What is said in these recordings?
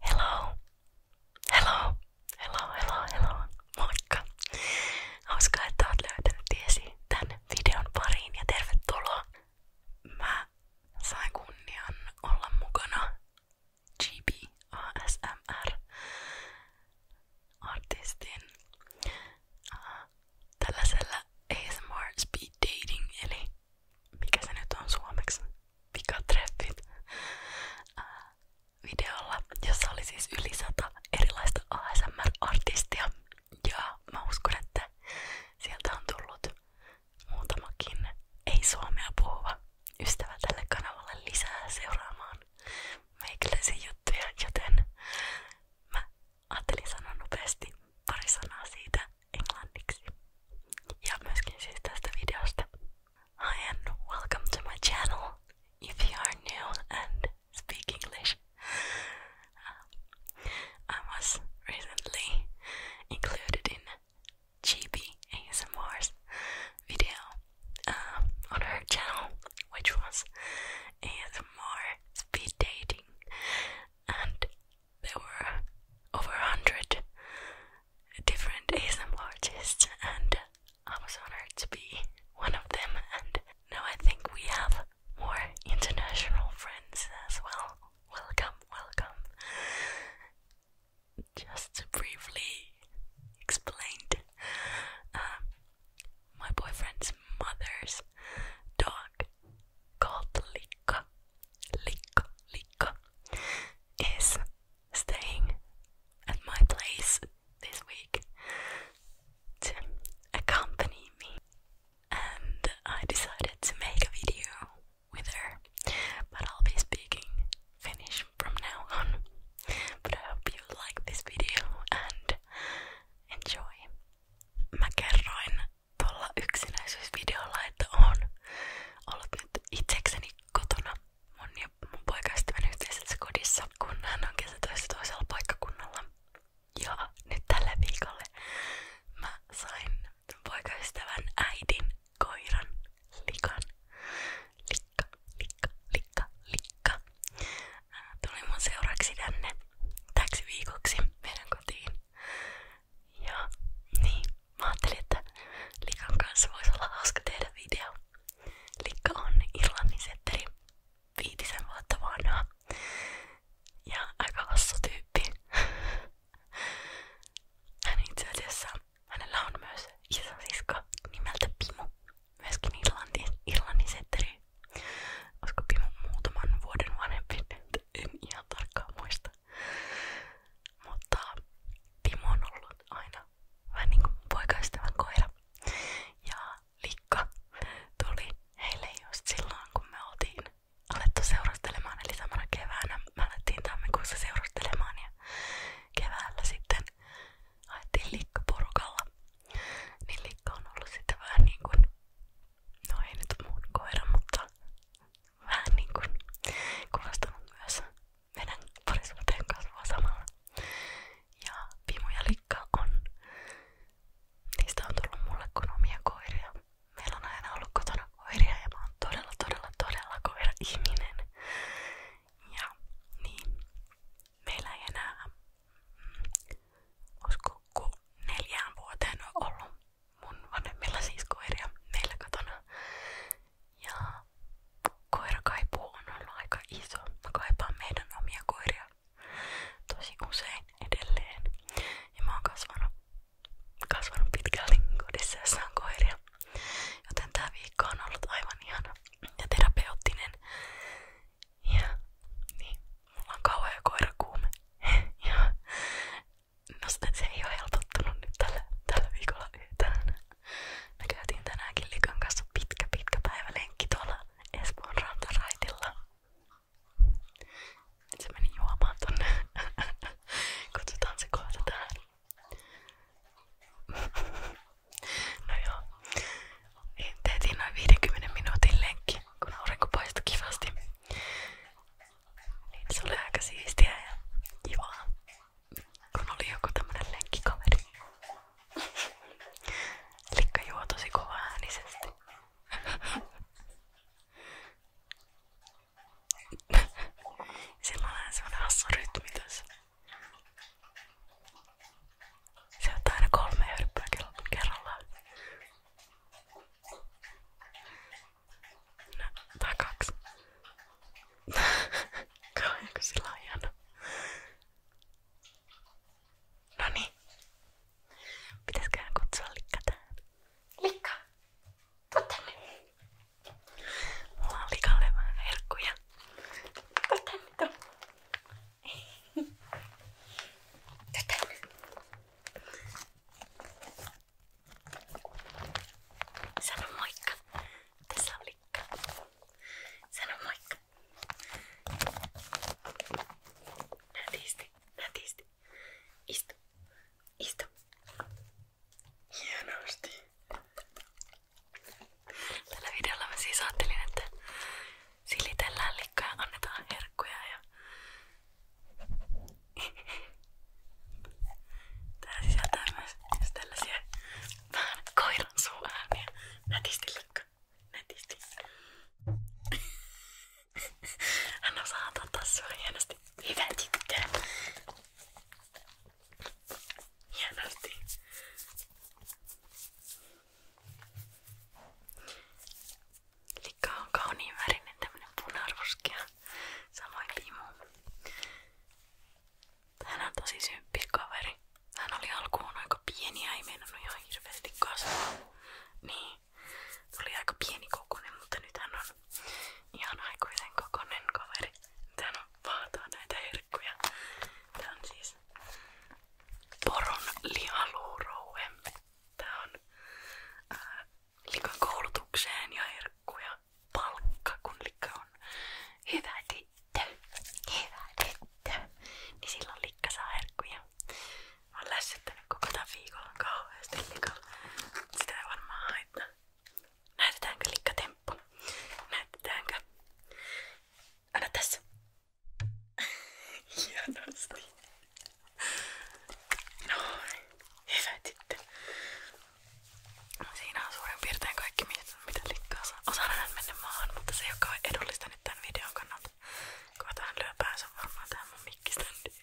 Hello. Hello. Hello, hello, hello. Moikka. Hauska, että oot löytänyt tiesi tän videon pariin ja tervetuloa. Mä sain kunnian olla mukana GBASMR artistin äh, tällaisella ASMR speed dating eli mikä se nyt on suomeksi, pikatreffit äh, videolla, jossa oli siis yli sata erilaista ASMR-artistia. Ja mä uskon, että sieltä on tullut muutamakin ei-suomea puhuva ystävä tälle kanavalle lisää seuraamaan meikäläisiä juttuja, joten mä ajattelin sanoa nopeasti pari sanaa siitä, Hi and welcome to my channel if you are new and speak English. Um, I was recently included in GB ASMR's video um, on her channel, which was ASMR speed dating, and there were over a hundred different ASM artists, and I was honored to be one of them. And now I think we have more international friends as well. Welcome, welcome. Just to briefly explain, um, my boyfriend's mother's dog called Lika Lico, Lico is staying at my place this week to accompany me, and I decided to make a video with her, but I'll be speaking Finnish from now on. But I hope you like this video and enjoy. Mä tuolla yksinäisyysvideolla, että oon ollut nyt itsekseni kotona mun ja mun poikaystävän yhteisessä kodissa, kun hän on kesätöissä toisella paikkakunnalla. Ja nyt tällä viikolla mä sain poikaystävän äidin koiran likan. Likka, likka, likka, likka. Tuli mun seuraksi tänne täksi viikoksi meidän kotiin. Ja niin, mä ajattelin, että Likan kanssa voisi olla hauska tehdä video. Likka on Irlannin setteri, viitisen vuotta vanha. Ja aika hassu tyyppi. Hän itse asiassa, hänellä on myös iso sisko nimeltä Pimu. Myöskin Irlannin, Irlannin setteri. Olisiko Pimu muutaman vuoden vanhempi nyt? en ihan tarkkaan muista. Mutta Timo on ollut aina vähän niin kuin poikaistavan koira. Ja Likka tuli heille just silloin, kun me oltiin alettu seurustelemaan, eli samana keväänä me alettiin tammikuussa seurustelemaan ja keväällä sitten haettiin Likka porukalla. Niin Likka on ollut sitten vähän niin kuin, no ei nyt mun koira, mutta vähän niin kuin kuvastanut myös meidän parisuhteen kasvua samalla. Ja Pimu ja Likka on, niistä on tullut mulle kun omia koiria. Meillä on aina ollut kotona koiria ja mä oon todella todella todella koira-ihminen. Ja niin, meillä ei enää, mm, olisiko neljään vuoteen on ollut mun vanhemmilla siis koiria meillä kotona. Ja koirakaipuu on ollut aika iso. Mä kaipaan meidän omia koiria tosi usein edelleen. Ja mä oon kasvanut, kasvanut pitkälti kodissa, jossa on koiria. Joten tää viikko on ollut aivan ihana ja terapeuttinen. Ja niin, mulla on kauhea koirakuume. ja No se ei ole helpottunut nyt tällä, tällä viikolla yhtään. Me käytiin tänäänkin Likan kanssa pitkä pitkä päivälenkki tuolla Espoon rantaraitilla. Nyt se meni juomaan tonne. Kutsutaan se kohta tähän. No joo. Niin, tehtiin noin 50 minuutin lenkki, kun aurinko paistui kivasti. Niin se oli aika siistiä ja kivaa, kun oli joku tämmönen lenkkikaveri. Likka juo tosi kova äänisesti. Sillä on aina semmonen hassu rytmitys. Se ottaa aina kolme hörppyä kerrallaan. No, tai kaksi. Kauanko sillä on hieno? Noniin. Pitäisköhän kutsua Likka tähän? Likka! Tuu tänne! Mulla on Likalle vähän herkkuja. Tuu tänne, tuu. tuu tänne. Sano moikka. Tässä on likka. Sano moikka. Nätisti, nätisti. Istu, istu. Hienosti. Tällä videolla mä siis ajattelin, että silitellään likkoja, annetaan herkkuja ja Tää sisältää myös siis tällaisia vähän koiran suuääniä. Nätisti likka. Nätisti. Hän osaa antaa sua hienosti. Hyvä tyttö. Hienosti. Likka on kauniin värinen tämmönen punaruskea. Samoin pimu. Hän on tosi symppi kaveri. Hän oli alkuun aika pieni ja ei meinannut ihan hirveästi kasvaa. Niin. Tuli aika pieni kokonen, mutta nyt hän on ihan aikuisen kokonen kaveri. Hän on vaataa näitä herkkuja. Tää on siis poron lihaluuroue. Tää on ää, likakoulutukseen ja herkkuja palkka, kun likka on hyvä tyttö, hyvä tyttö, niin silloin likka saa herkkuja. Mä oon lässyttänyt koko tämän viikolla kauheasti likalla. Sitä ei varmaan haittaa. Näytetäänkö likkatemppu? Näytetäänkö? Anna tässä. Hienosti. Noin, hyvä sitten. Siinä on suurin piirtein kaikki mitä likkaa saa. Osaan hän mennä maahan, mutta se ei ole edullista nyt tämän videon kannalta. Kohtahan lyö päänsä varmaan tähän mun mikkiständiin.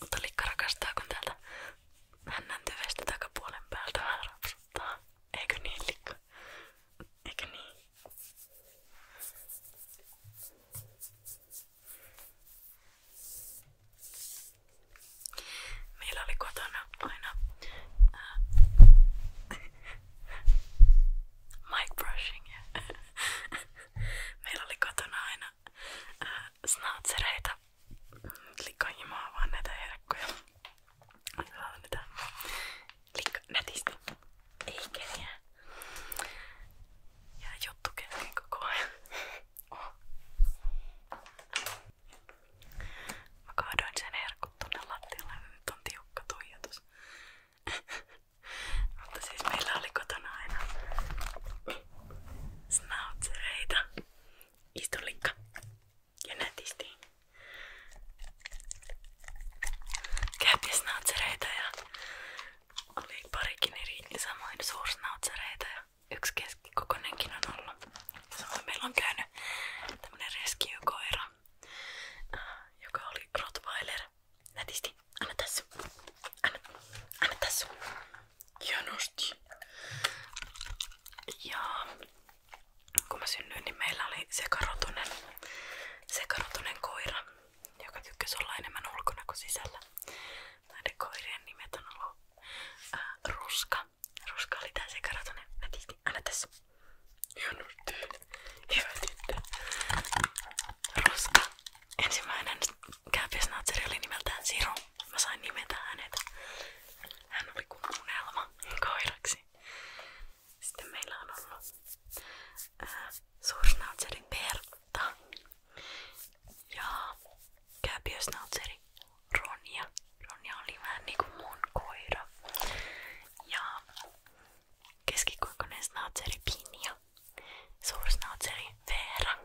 Mutta likka rakastaa kun täältä hännän tyvestä takapuolen päältä vähän rapsuttaa. Eikö niin likka? Eikö niin? Meillä oli kotona aina ää, äh, mic brushing. Meillä oli kotona aina ää, äh, snaatsereita likkoimaa vaan näitä herkkuja. Mitä? Lik, aika nätisti. Ei kenään. Jää juttu koko ajan. Oh. Mä kaadoin sen herkut tonne lattialle, nyt on siis aina snautsereita, istulikka ja nätisti. Käytiin oli niin parikin eri niin samoin suursnautsereita ja yksi keskikokoinenkin on ollut. Samoin meillä on käynyt tämmönen rescue-koira, äh, joka oli Rottweiler. Nätisti. Anna tässä. Anna, anna tässä. Ja kun mä synnyin, niin meillä oli sekarotunen, sekarotunen koira joka tykkäsi olla enemmän ulkona kuin sisällä. Näiden koirien nimet on ollut ää, äh, Ruska. Ruska oli tää sekaratonen. Mä tiitin, anna tässä. Hienosti. Hyvä tyttö. Ruska. Ensimmäinen kääpiösnaatseri oli nimeltään Siru. Mä sain nimetä hänet. Hän oli kuin unelma koiraksi. Sitten meillä on ollut suursnautserin Pertta ja kääpiösnautseri Ronja. Ronja oli vähän niinku mun koira. Ja keskikokoinen snautseri Pinja. Suursnautseri Veera.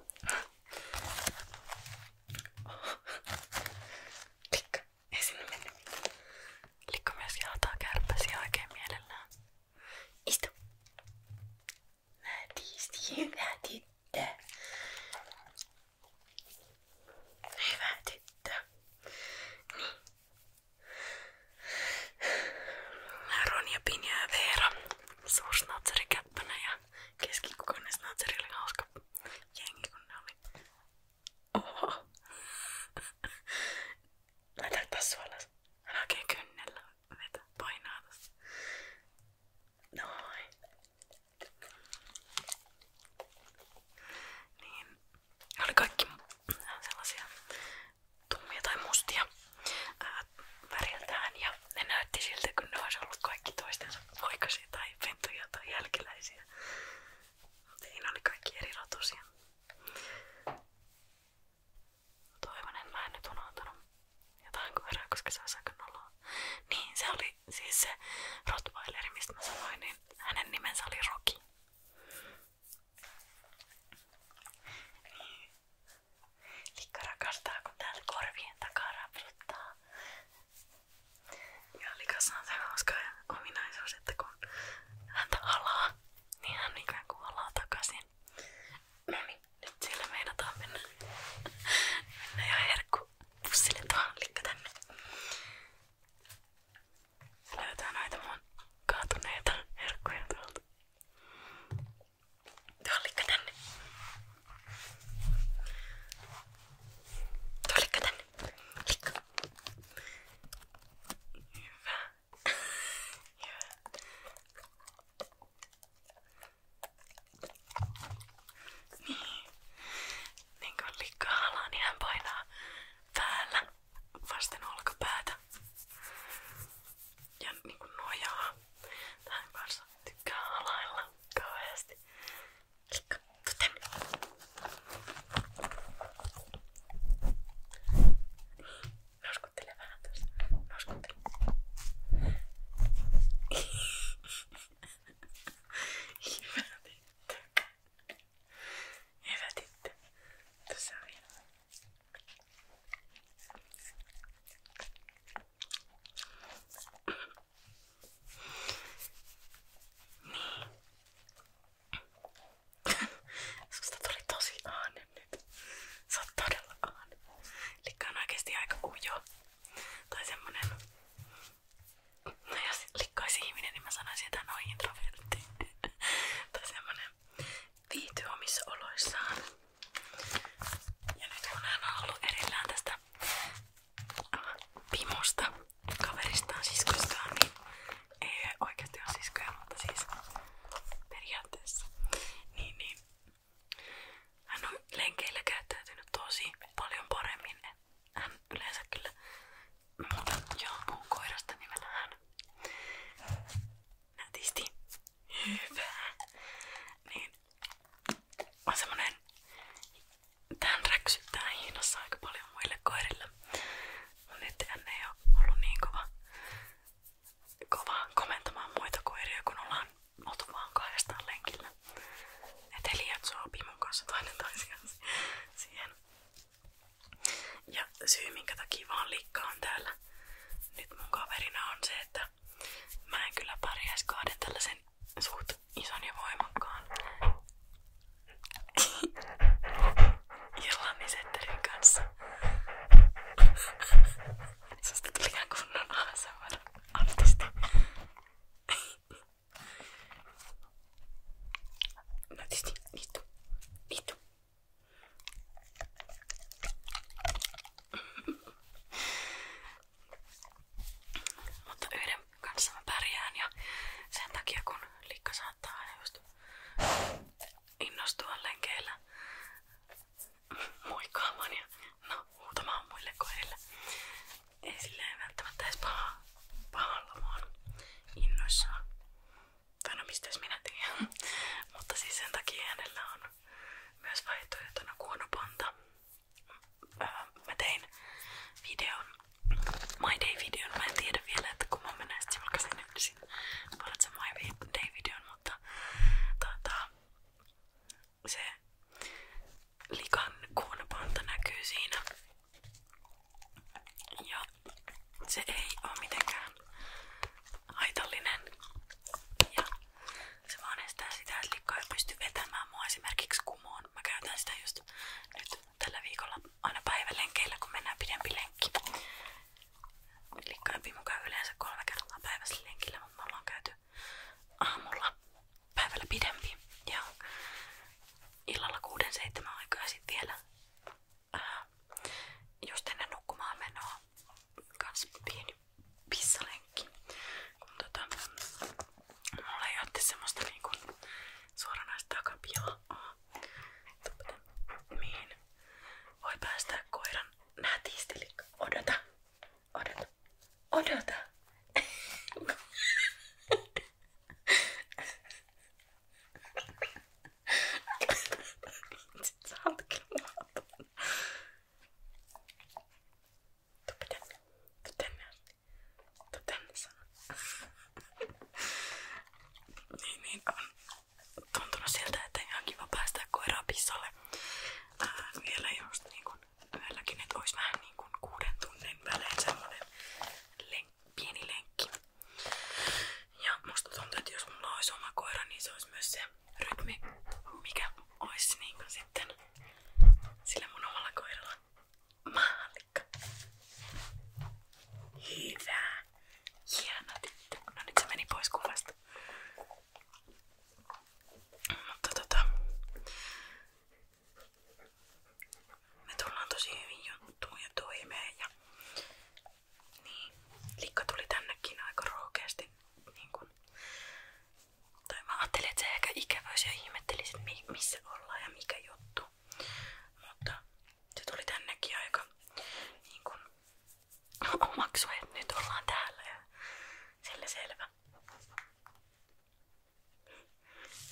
Likka, ei sinne mene. Likka myös jahtaa kärpäsiä oikein mielellään. Istu. Nätisti, hyvä tyttö. Hyvä tyttö. Niin. Ronja, Pinja ja Veera. Suursnatseri käppänä ja keskikokoinen snatseri oli hauska jengi kun ne oli. Oho. Laita tässä alas. Hän oikein kynnellä vetä, painaa tässä. Noin. Niin. Oli kaikki äh, sellaisia tummia tai mustia ää, äh, väriltään ja ne näytti siltä, kun ne olisi ollut kaikki toistensa poikasia tai pentuja tai jälkeläisiä. Mutta ei ne oli kaikki eri rotusia. Toivon, en mä en nyt unohtanut jotain koiraa, koska se olisi aika noloa. Niin, se oli siis se Rottweileri, mistä mä sanoin, niin hänen nimensä oli Roki. Niin. Likka rakastaa, kun täältä korvien takaa rapsuttaa. Ja Likassa on se hauska ominaisuus, että kun häntä halaa, niin hän ikään kuin palaa takaisin. No niin, nyt siellä meinataan mennä. Mennään ihan herkku pussille tuohon likka tänne. Löytää näitä mun kaatuneita herkkuja tuolta. Tuohon likka tänne. Tuohon likka tänne. Likka. Hyvä. Niin. Niin kun likkaa halaa, niin hän painaa päällä vasten olkapäätä. Ja niinku nojaa. Tähän kanssa tykkää halailla kauheasti. Likka, tuten. Nouskuttele vähän tuossa. Nouskuttele. Hyvä tyttö. Hyvä tyttö. Tuossa on vielä. Niin. Susta tuli tosi aane nyt. Sä oot todella aane. Likka on oikeesti aika ujo. Tai semmonen... No jos Likka olisi ihminen, niin mä sanoisin, että hän on introvertti. tai semmonen viihtyy omissa oloissaan. Ja nyt kun hän on ollut erillään tästä äh, Pimosta, kaveristaan, siskostaan, niin ei oikeasti ole siskoja, mutta siis periaatteessa. Niin, niin. Hän on lenkeillä käyttäytynyt tosi paljon paremmin. Hän yleensä kyllä, muuten joo, puhun koirasta nimellä hän. Nätisti. Hyvä. Niin. On semmonen, tämän räksyttää Hiinassa aika paljon muille koirille nyt en ei ole ollut niin kova, kova komentamaan muita koiria, kun ollaan oltu vaan kahdestaan lenkillä. Et Elia sopii mun kanssa toinen toisiaan siihen. Ja syy minkä takia vaan likka on täällä nyt mun kaverina on se, että mä en kyllä pärjäisi kahden tällaisen suht ison ja voimakkaan Jollamisettelin kanssa. Susta tuli ihan kunnon ASMR-artisti. Mä tietysti niittu. Niittu. Mutta yhden kanssa mä pärjään ja sen takia kun likka saattaa aina innostu, innostua lenkeillä muikkaamaan ja no, huutamaan muille kohdille. Ei silleen välttämättä edes paha, pahalla vaan innoissaan. Tai no mistäs minä tiedän. Mutta siis sen takia hänellä on myös vaihtoehtona kuonopanta. panta, mä tein videon My Day-videon. Mä en tiedä vielä, että kun mä menen sit julkaisen niin Day-videon, mutta tota, se likan kuonopanta näkyy siinä. Ja se ei oo mitenkään haitallinen. Ja se vaan estää sitä, että likka vetämään mua esimerkiksi kumoon. Mä käytän sitä just nyt tällä viikolla aina päivälenkeillä, kun pidempi lenkki. Likka mukaan yleensä kolme kertaa päivässä lenkillä, mutta me ollaan aamulla päivällä pidempi ja illalla kuuden seitsemän aikaa vielä ää, äh, just ennen menoa kans pieni pissalenkki. Kun tota, mulla ei ole niinku suoranaista takapioa niin. Voi päästää koiran nätisti. Eli odota. Odota. Odota. Sitten sä ootkin Tuu tänne. Tuu tänne. niin, niin on tuntunut siltä, että ihan vielä just niin kuin yölläkin, että olisi vähän niin kuin kuuden tunnin välein Ja musta että jos mulla olisi oma koira, niin myös se mikä olisi niin kuin sitten sillä mun omalla koiralla. Maalikka. Hyvä. Hieno tyttö. No meni pois kuvasta. Mutta tota... Me tullaan tosi hyvin juttuun ja toimeen Niin. Likka tuli tännekin aika rohkeasti. Niin kun... Tai mä ja ihmettelisi, että missä ollaan ja mikä juttu. Mutta se tuli tännekin aika niin kuin, omaksua, että nyt ollaan täällä ja sillä selvä.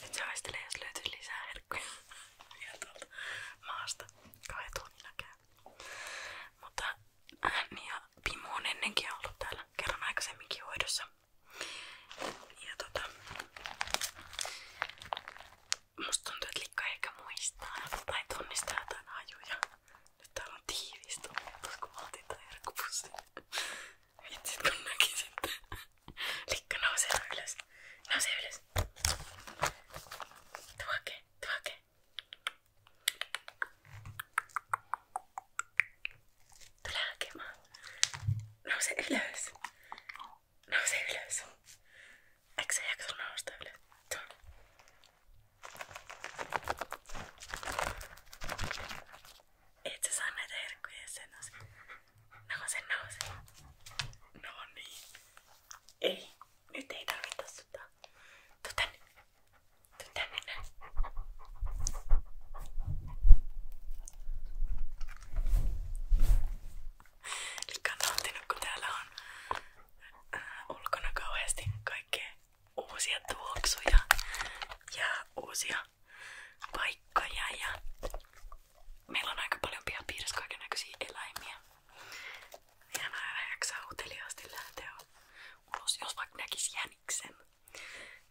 Nyt se haistelee, jos löytyy lisää herkkuja vielä tuolta maasta. Kahden tunnin näkee. Mutta hän äh, niin ja Pimu on ennenkin ollut täällä kerran aikaisemminkin hoidossa. Ja tota, musta tuntuu, että Likka ehkä muistaa tai tunnistaa jotain hajuja. Nyt täällä on tiivistä, mutta kun mä otin tän herkkupussin. Vitsit kun näkisin tän. Likka nousee ylös. Nousee ylös. Tuoke, tuoke. Tule hakemaan. Nouse ylös. No se ylös. Eikö sä jaksa nousta ylös? Tuo. Et sä saa näitä herkkuja, jos sen nouse. No se nousee. No niin. Ei. Nyt ei tarvita sutta. Tuu tänne. Tuu tänne näin. Elikkä on nauttinut, kun täällä on äh, ulkona kauheasti kaikkea uusia tuoksuja ja uusia paikkoja ja meillä on aika paljon pihapiirissä kaiken näköisiä eläimiä. Ja mä aina jaksaa uteliaasti lähteä ulos, jos vaikka näkis jäniksen.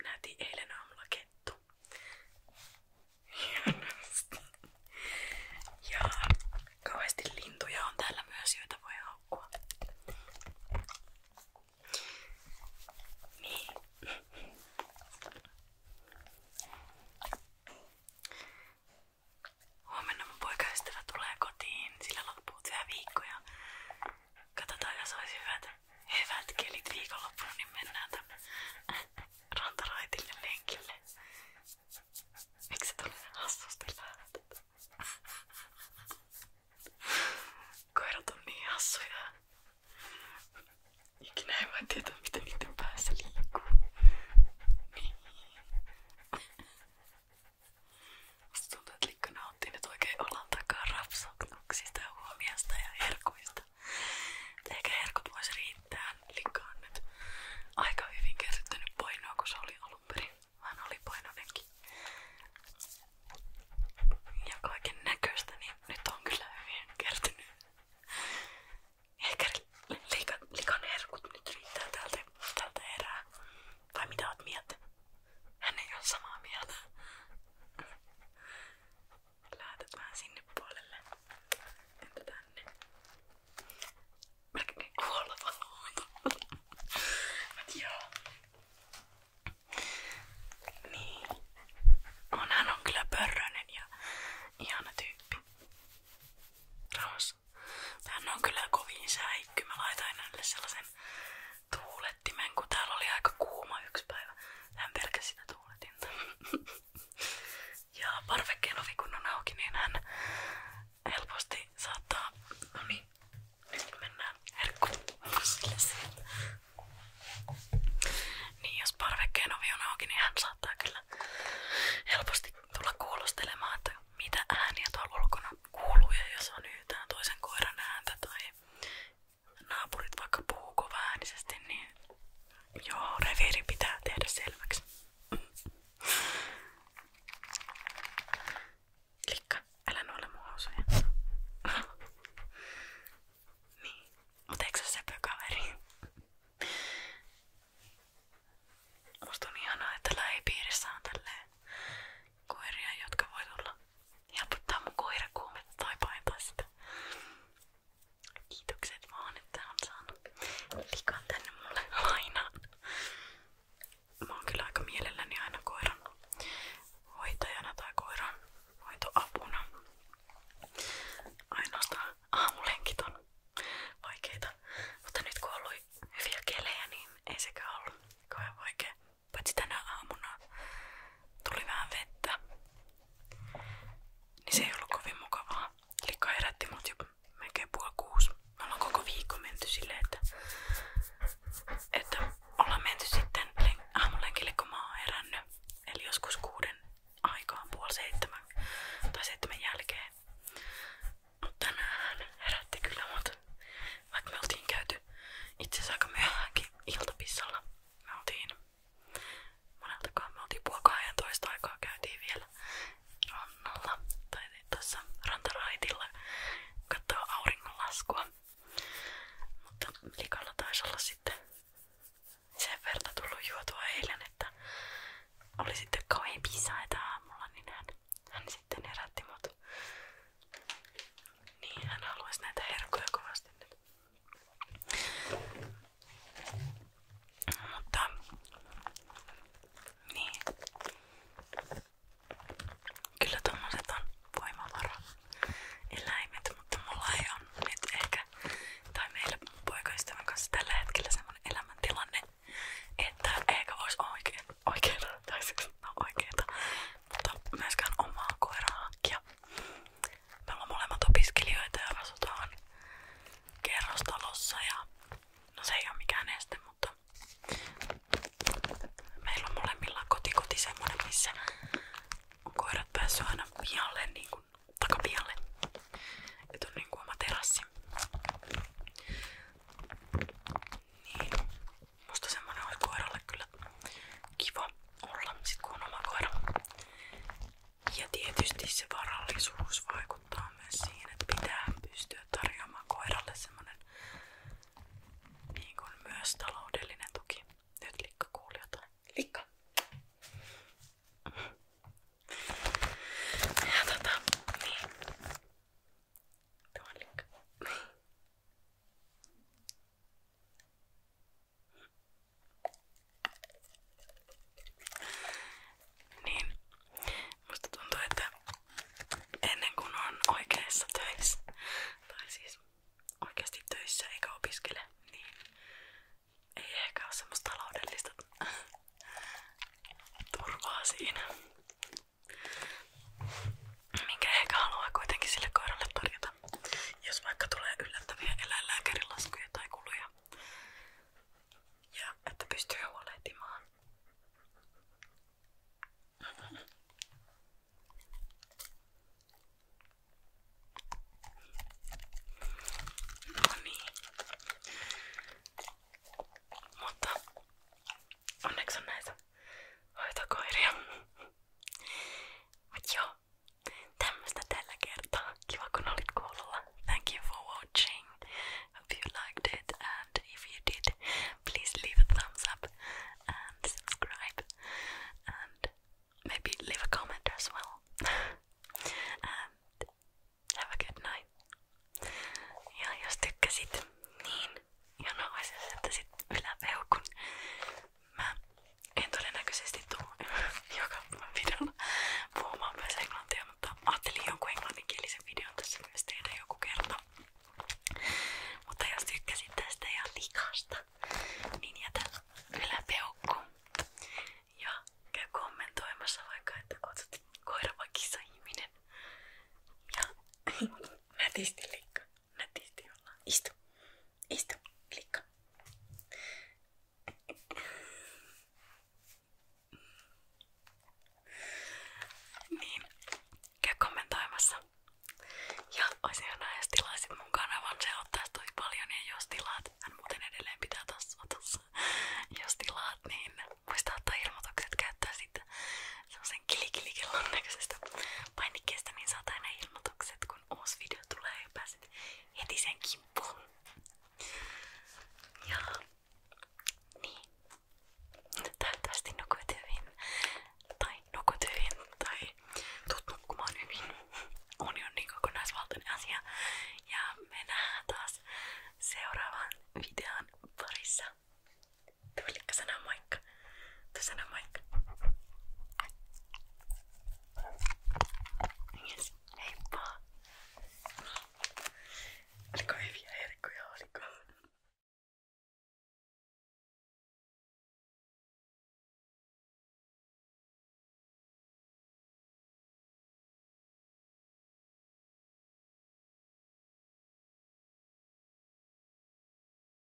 Näytin eilen aamulla kettu. Hienosti. Ja kauheasti lintuja on täällä myös, joita voi haukkua. Niin. Huomenna mun poikaystävä tulee kotiin, sillä loppuu työviikko ja katsotaan jos olisi hyvät, hyvät kelit viikonloppuna, niin mennään tämän rantaraitille lenkille. Miksi se tulee niin hassusti lähdet? Koirat on niin Ikinä ei voi miten niiden päässä liikkuu. Niin. Musta tuntuu, että Likko nautti nyt oikein ja huomiosta tästä. Et ehkä herkut voisi riittää, likka on nyt aika hyvin kerryttänyt painoa, kun se oli alun perin. Hän oli painoinenkin. Ja kaiken näköistä, niin nyt on kyllä hyvin kertynyt. Ehkä liikan, liikan herkut nyt riittää tältä, tältä erää. Vai mitä oot mieltä? Hän ei ole samaa mieltä. Laitat vähän sinne puolelle. Entä tänne? Melkein kuoleva luonto. Mut joo. Niin. On, hän on kyllä pörröinen ja ihana tyyppi. Rauhassa. Hän on kyllä kovin säikky. Mä laitan hänelle sellaisen tuulettimen, kun täällä oli aika kuuma yksi päivä. Hän pelkäsi sitä ja parvekkeen ovi kun on auki, niin hän helposti saattaa... No niin, nyt mennään herkku Niin jos parvekkeen ovi on auki, niin hän saattaa kyllä helposti tulla kuulostelemaan, että mitä ääniä tuolla ulkona kuuluu ja jos on yhtään toisen koiran ääntä tai naapurit vaikka puhuu kovaäänisesti, niin joo, reviiri pitää tehdä selväksi. Klikka, älä nuole mun housuja. niin, mut eikö se sepö kaveri? Musta on ihanaa, että lähipiirissä on tälleen koiria, jotka voi tulla helpottaa mun koirakuumetta tai paintaa sitä. Kiitokset vaan, että on saanut likan tänne mulle lainaan. Mä oon kyllä aika mielelläni aina koiran hoitajana tai koiran hoitoapuna. Ainoastaan aamulenkit on vaikeita. Mutta nyt kun on ollut hyviä kelejä, niin ei sekään ollut kauhean vaikea. Paitsi tänä aamuna tuli vähän vettä. Niin se ei ollut kovin mukavaa. Likka herätti mut jo melkein puoli kuusi. Me ollaan koko viikko menty silleen, että, että ollaan menty sitten aamulenkille, kun mä oon herännyt. Eli joskus kuuden aikaan, puoli seitsemän tai seitsemän jälkeen. Mutta tänään herätti kyllä mut. Vaikka me oltiin käyty itse asiassa aika myöhäänkin iltapissalla. Me oltiin Moneltakaan me oltiin puoli 12 aikaa käytiin vielä rannalla tai tuossa rantaraitilla katsoa auringonlaskua. Mutta likalla taisi olla sitten sen verran tullut juotua eilen, että oli sitten kauhean pisaita aamulla, niin hän, hän sitten herätti mut. Niin, hän haluaisi näitä herkkuja kovasti nyt. Mutta niin. Kyllä tommoset on voimavara eläimet, mutta mulla ei on nyt ehkä tai meillä mun poikaystävän kanssa tällä hetkellä semmonen elämäntilanne, että ehkä vois oikein, oikeeta, tai siis no oikeeta, mutta myöskään omaa koiraa hankkia. Me ollaan molemmat opiskelijoita ja asutaan kerrostalossa ja no se ei ole mikään este, mutta meillä on molemmilla kotikoti semmonen, missä on koirat päässyt aina pihalle, niin kuin, takapihalle. Et on niinku oma terassi. Niin, musta semmonen olisi koiralle kyllä kiva olla, sit kun on oma koira. Ja tietysti se varallisuus vaikuttaa myös siihen, että pitää pystyä tarjoamaan koiralle semmonen niin kuin myös taloudellinen tuki. Nyt Likka kuuli jotain. Likka! Ja tota, niin. Tuo on Likka. Niin. Niin. Musta tuntuu, että ennen kuin on oikeassa töissä, tai siis oikeasti töissä eikä opiskele, niin ei ehkä ole semmoista taloudellista turvaa siinä, minkä ehkä haluaa kuitenkin sille koiralle tarjota jos vaikka tulee yllättäviä eläinlääkärilaskuja tai kuluja. Ja että pystyy huolehtimaan. No niin. Mutta onneksi on näitä hoitokoiria. Mut joo, Thank you for watching. Hope you liked it and if you did, please leave a thumbs up and subscribe and maybe leave a comment as well. have a good night. Ja jos tykkäsit, niin ja noises, että sit yläpeukun Mä en todennäköisesti joka videolla puhumaan englantia, mutta ajattelin jonkun englanninkielisen videon tässä myös tehdä joku Mutta jos tykkäsit tästä niin jätä vielä peukku. Ja käy kommentoimassa vaikka, että oot ihminen. Ja nätisti likka nätisti ollaan. Istu. Istu. Klikka. Niin. Käy kommentoimassa. Ja olisi ihanaa, jos tilaisit mun kanavan. Se ottaisi tosi paljon. Ja jos tilaat, hän muuten edelleen pitää tossa otossa. Jos tilaat, niin muista ottaa ilmoitukset käyttää sitten semmosen kilikillikellon näköisestä painikkeesta, niin saat aina ilmoitukset, nyt kun uusi video tulee ja pääset heti sen kimppuun. Ja niin. Toivottavasti nukuit hyvin. Tai nukut hyvin. Tai tuut nukkumaan hyvin. Uni on niin kokonaisvaltainen asia. Ja me nähdään taas seuraavan videon parissa. Tulikka sanoa moikka. To sano Mike. Mies, heippa! Oliko hyviä herkkuja, oliko?